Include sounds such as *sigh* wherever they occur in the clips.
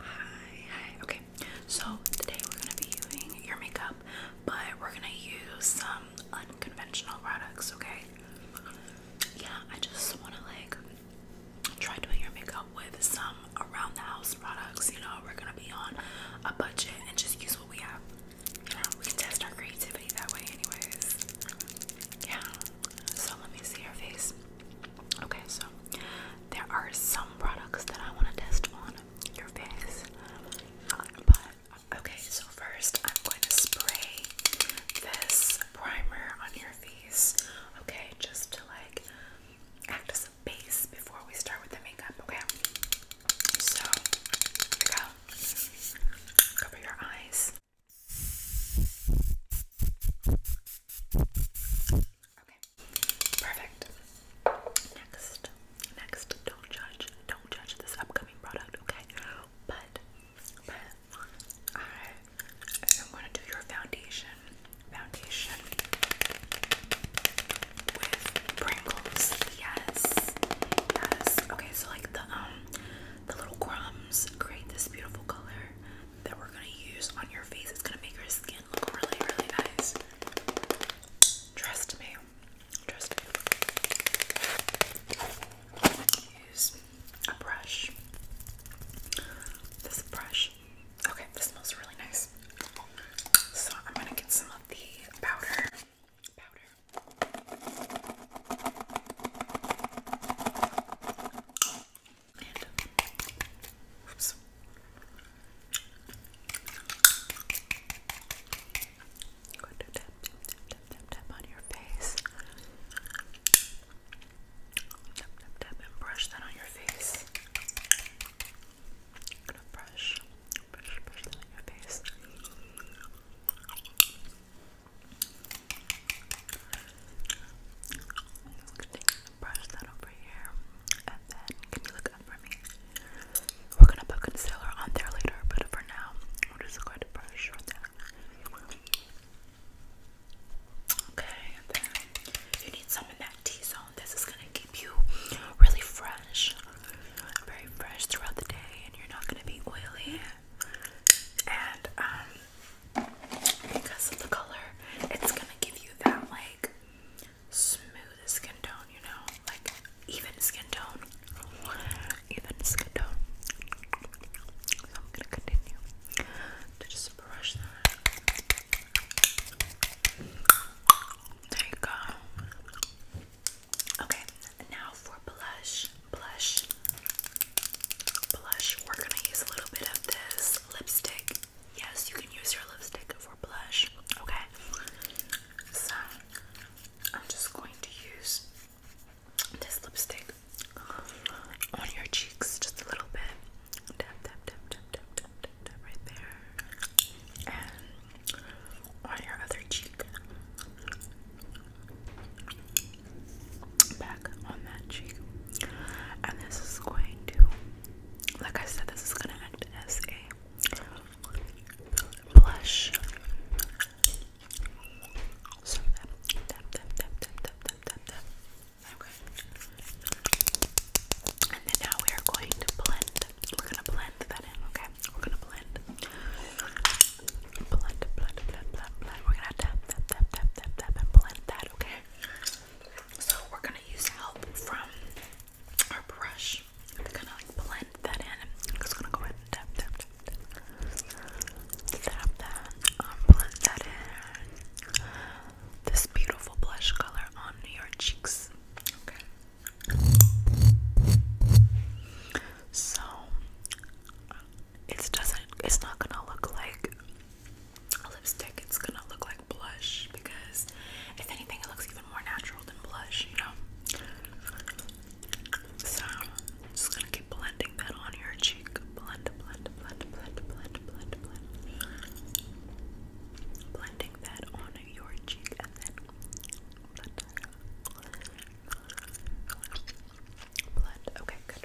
Hi, Okay, so today we're gonna be doing your makeup, but we're gonna use some unconventional products. Okay. Yeah, I just wanna like try doing your makeup with some around the house products. You know, we're gonna be on a budget and just use what we have. we can test our creativity that way, anyways. Yeah. So let me see your face. Okay, so there are some products that I want to test on your face, but okay, so first I'm going to spray this primer on your face, okay, just to like act as a base before we start with the makeup, okay? So, go. Cover your eyes. Okay. Perfect. Next. Next. Don't judge. Don't judge this upcoming product, okay? But but I am gonna do your foundation. Foundation with Pringles. Yes. Yes. Okay, so like the um the little crumbs create this beautiful color that we're gonna use on your face. It's gonna make your skin look really, really nice. Trust me. Trust me. Use a brush. This brush. Okay, this smells really nice. So I'm gonna get some of the powder. Powder. And, oops. I'm going to tap, on your face. Tap, tap, tap, and brush that on your face. gonna brush, brush, brush that on face. We're gonna put concealer on there later, but for now, we're just going to brush Okay, you need some in that T zone. This is gonna keep you really fresh, very fresh throughout the day, and you're not gonna be oily. And um, because of the color, it's gonna give you that like smooth skin tone, you know, like even skin tone, even skin tone. I'm gonna continue to just brush that. There you go. Okay, now for blush. Blush. Blush, we're gonna use a little bit of this lipstick. Yes, you can use your lipstick for blush, okay? So, I'm just going to use this lipstick on your cheeks just a little bit. right there. And on your other cheek back on that cheek. And this is going to, like I said, this is going to act as a blush. Okay. And then now we are going to blend. We're going to blend that in, okay? We're going to blend. Blend, blend, blend, blend, blend. We're gonna tap, tap, tap, tap, tap, tap, blend that, okay? So we're gonna use help from our brush to kind of like blend that in. just gonna go ahead and tap, tap, tap, tap, tap that, um, blend that in. This beautiful blush color on your cheeks, okay? So it doesn't. It's not gonna look like a lipstick. It's gonna look like blush because, if anything, it looks even more natural than blush. You know. So I'm just gonna keep blending that on your cheek. Blend, blend, blend, blend, blend, blend, blend. Blending that on your cheek and then blend. Blend. Okay, good.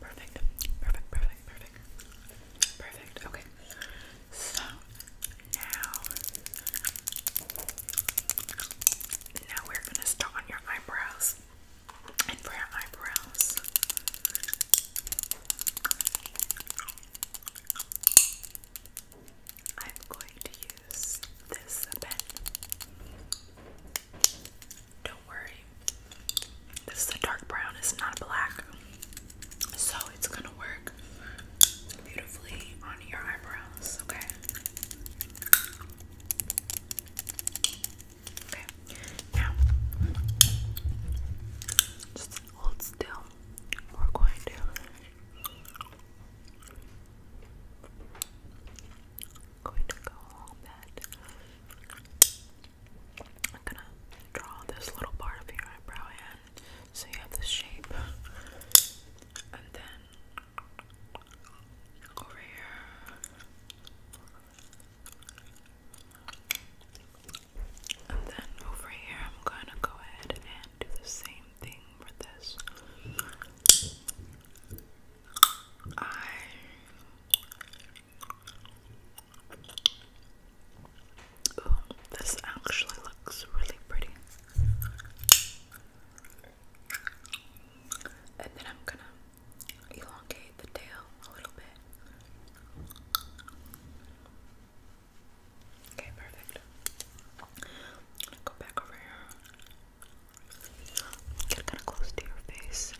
Perfect. Perfect, perfect, perfect. Perfect. Okay. So now now we're gonna start on your eyebrows. And for eyebrows. I'm going to use this pen. Don't worry. This is a dark brown, it's not black. So it's gonna work beautifully on your eyebrows, okay? Okay, now just hold still. We're going to I'm gonna draw this little part of your eyebrow in so you have this shape. And then over here. And then over here, I'm gonna go ahead and do the same thing for this. I this actually looks really pretty. And then I'm gonna elongate the tail a little bit. Okay, perfect. go back over here. Get kind of close to your face.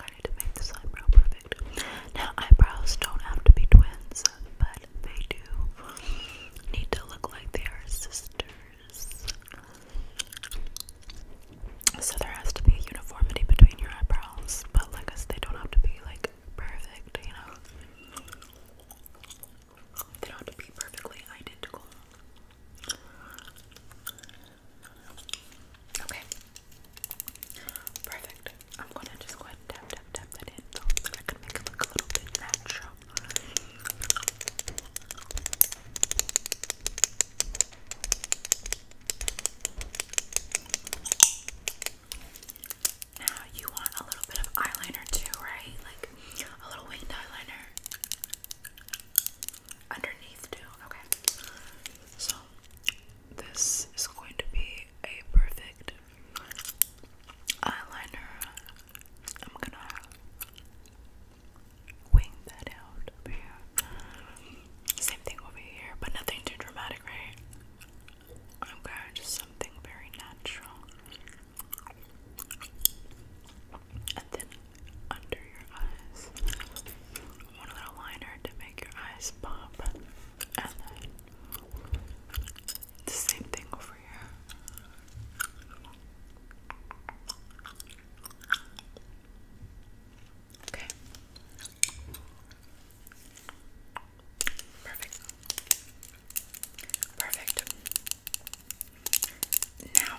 I need to make this eyebrow perfect. Now, eyebrows don't have to be twins, but they do need to look like they are sisters. So there has to be a uniformity between your eyebrows, but like I said, they don't have to be like perfect, you know. They don't have to be perfectly identical. Okay. Perfect. I'm gonna just go and tap, tap, tap that in so that I can make it look a little bit natural. Now you want a little bit of eyeliner too, right? Like a little winged eyeliner. Underneath too. Okay. So this is going to be a perfect eyeliner. I'm gonna wing that out over here. Same thing over here, but nothing too dramatic, right? Okay, just something very natural and then under your eyes, one little liner to make your eyes pop, and then the same thing over here. Okay. Perfect. Perfect. Now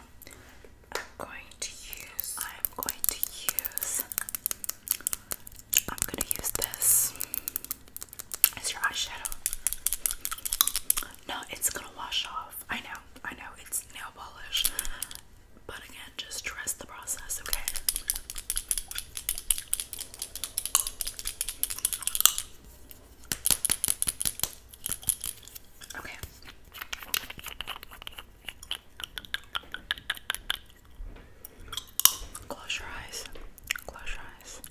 I'm going to use I'm going to use I'm gonna use this as your eyeshadow. No, it's gonna wash off. I know, I know, it's nail polish. But again, just trust the process, okay? Close your eyes. Close your eyes.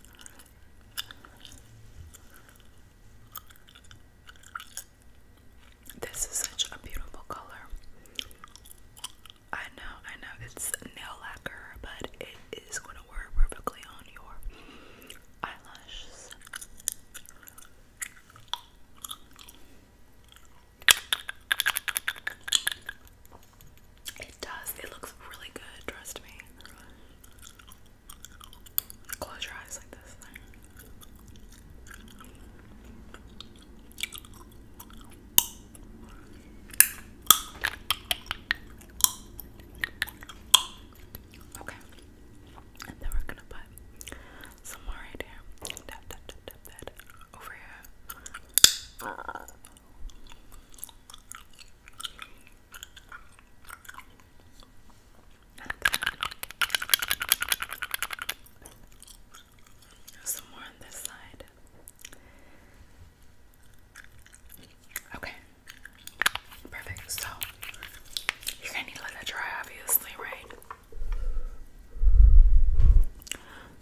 This is such a beautiful color. I know, I know it's nail lacquer, but it is going to work perfectly on your eyelashes. It does. It looks really good, trust me. Close your eyes like this. Okay. And then we're gonna put some more right here. Tap, tap, tap, tap that over here. Some more on this side. Okay, Perfect. So you're gonna need to let that dry, obviously, right?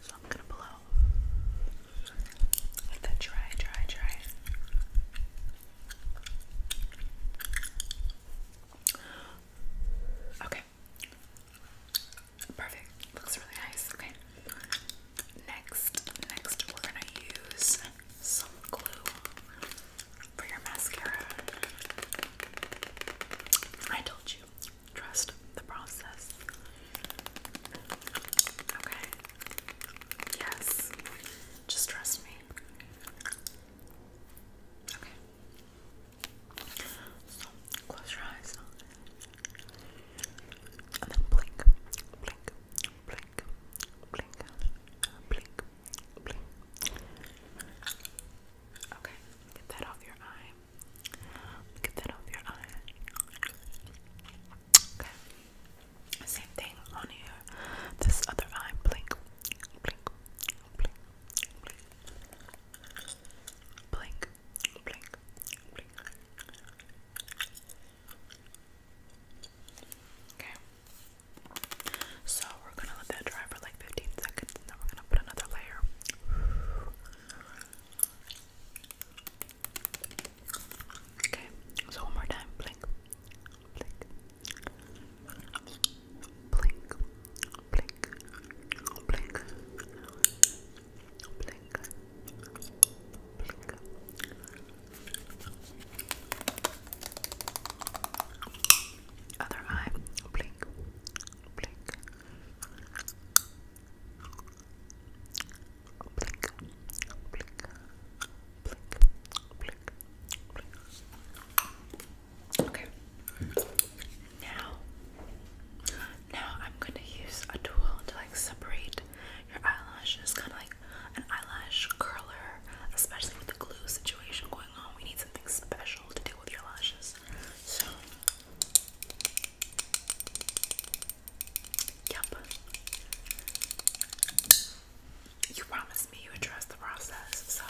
So I'm gonna blow. Let that dry, dry, dry. Okay. Perfect. Looks really nice. Okay. Next, next we're gonna use some glue for your mascara. I told you, trust the process. Okay. Yes. Just trust me. Okay. close your eyes. And then blink. Blink blink, blink, blink, blink. Okay, get that off your eye. Get that off your eye. Okay. Same thing on here. This other eye, blink, blink, blink, blink, blink, blink, blink. Okay. So we're gonna let that dry for like 15 seconds then we're gonna put another layer. Okay, so one more time. Blink. Blink. Blink. Blink. Blink. Blink. Blink. Other eye, blink, blink, blink, blink, blink, blink, blink. Okay. Now, now I'm gonna use a tool to like separate your eyelashes, kind of like an eyelash curler, especially with the glue situation going on. We need something special to deal with your lashes. So, yep. You promised me you would trust the process, so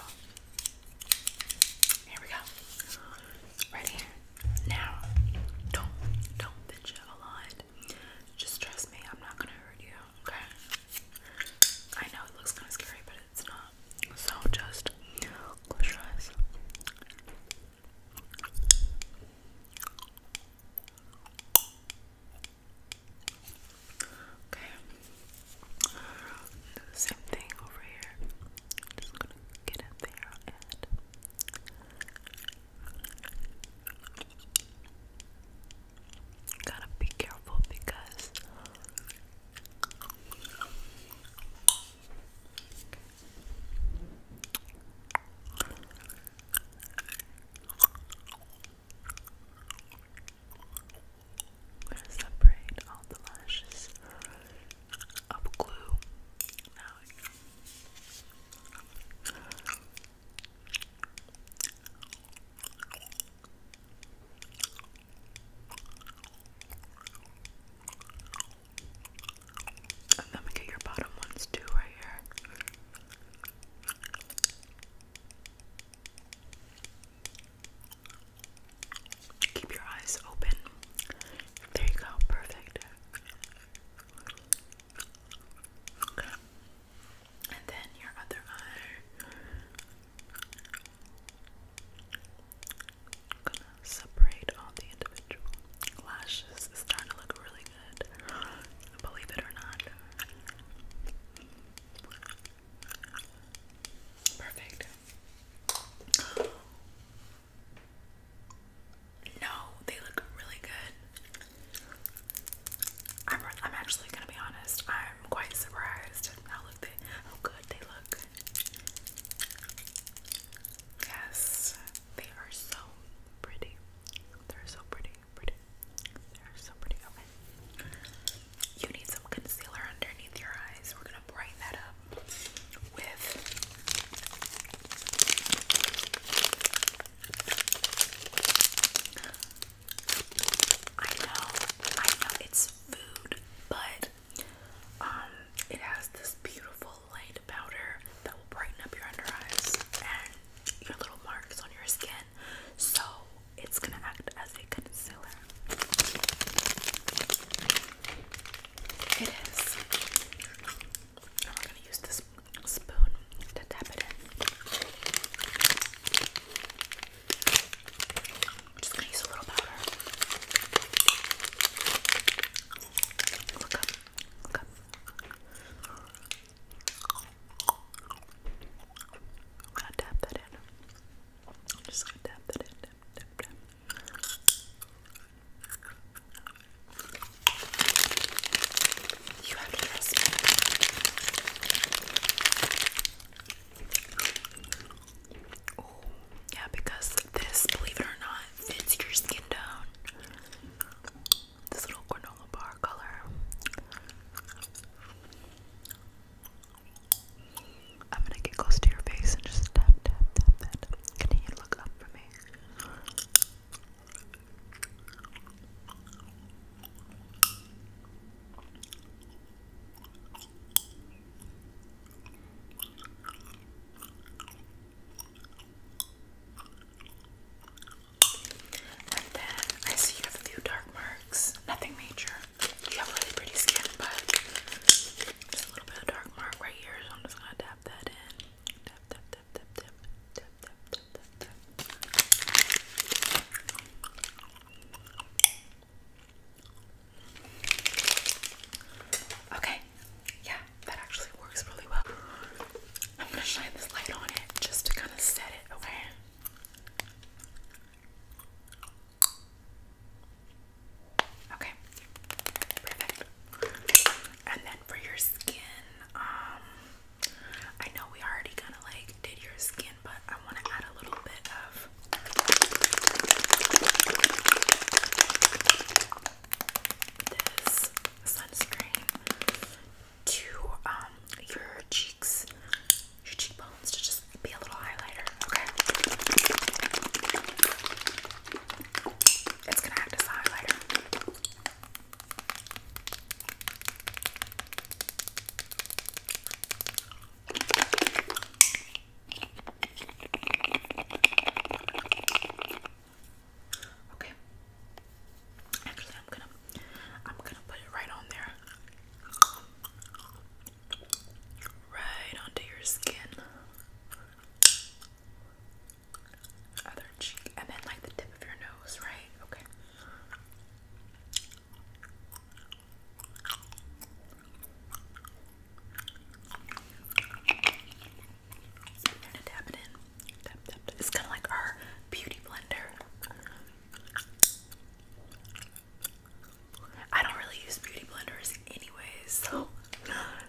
here we go. Right here. Now, don't, don't bitch it a lot. Just trust me, I'm not gonna hurt you, okay? I know it looks kind of scary, but it's not. So just close your eyes. Okay. same thing over here. Just gonna get in there and Gotta be careful because we're gonna separate all the lashes of glue now. And then we get your bottom ones too, right here. Keep your eyes open. There you go, perfect. And then your other eye. gonna separate all the individual lashes. It's starting to look really good. Believe it or not. Perfect. No, they look really good. I'm, I'm actually gonna be honest. I'm quite surprised how look they how good they look. Yes, they are so pretty. They're so pretty, pretty. They're so pretty. Okay. You need some concealer underneath your eyes. We're gonna brighten that up with I know, I know it's food, but um, it has this beautiful light powder that will brighten up your under eyes and your little marks on your skin. So it's gonna act as a concealer. It is. And we gonna use this spoon to tap it in. just gonna use a little powder. Look up, look up. i to tap that in. just gonna tap that in. Tap, tap, tap. Oh, yeah, because this, believe it or not, fits your skin tone. This little granola bar color. I'm gonna get close to your face and just tap, tap, tap, tap. Can you look up for me? And then I see you have a few dark marks, nothing major. You have really pretty skin, but just a little bit of dark mark right here, so I'm just gonna dab Okay, yeah, that actually works really well. I'm gonna shine this light on it just to kind of set it, okay? Okay, perfect. And then for your skin, um, I know we already kind of like did your skin, but I want to add a little bit of. This sunscreen to um your cheeks, your cheekbones to just be a little highlighter. Okay. It's gonna have this highlighter. Okay. Actually, I'm gonna I'm gonna put it right on there. Right onto your skin other cheek, and then like the tip of your nose, right? Okay. gonna tap it in. Tap, tap, tap. It's kind of like our beauty blender. I don't really use beauty blenders anyways, so *laughs*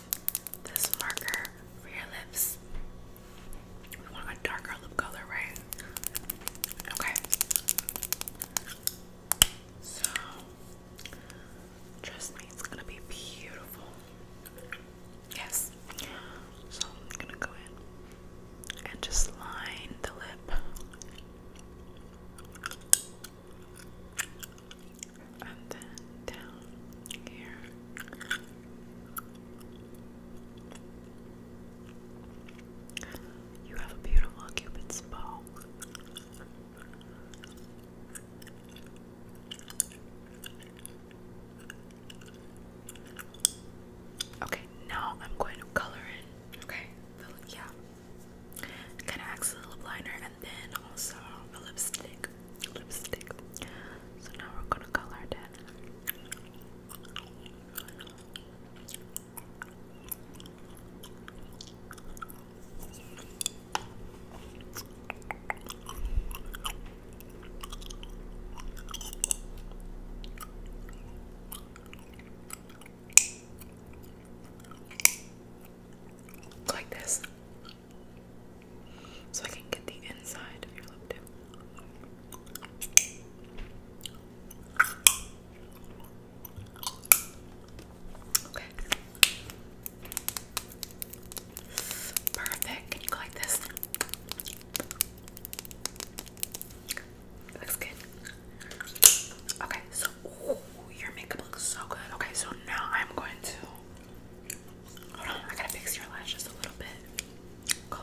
this marker for your lips. We want a darker lip color, right? Okay. So, trust me, it's gonna be beautiful. Yes. So, I'm gonna go in and just line the lip and then down here. You have a beautiful cupid's bow. Okay, now I'm going to color in. Okay, yeah, kind of acts lip liner and then also a lipstick. Lipstick. So now we're gonna color that like this, so I can get the inside of your lip Okay. Perfect. Can you go like this? looks good. Okay, so Ooh, your makeup looks so good. Okay, so now I'm going to. Hold on, I gotta fix your lashes a little bit. Go,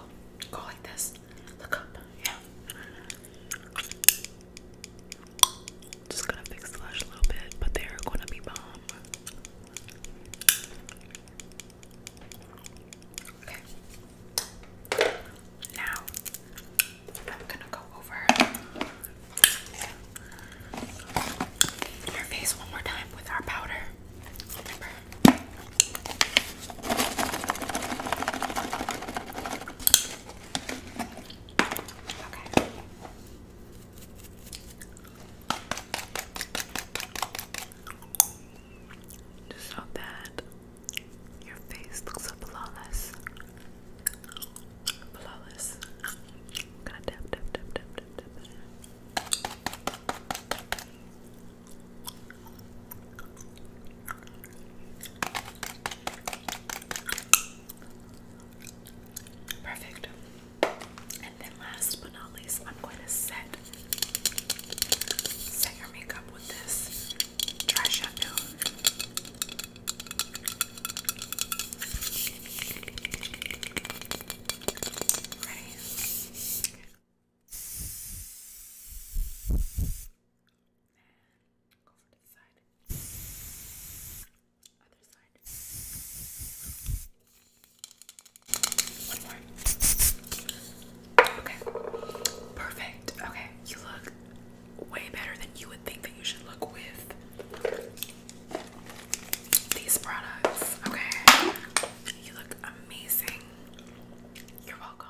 go like this. Look up, yeah. Just gonna fix the lash a little bit, but they're gonna be bomb. Okay. Now I'm gonna go over your face one more time with our powder. Okay. Just so that your face looks flawless. Flawless. I'm gonna tap, tap, tap, tap, tap, tap. Perfect. And then last but not least, I'm going to set set your makeup with this dry shampoo. Ready? And go for this side. Other side. One more. Okay. Perfect. Okay, you look way better than you would think that you should look with these products. Okay, you look amazing. You're welcome.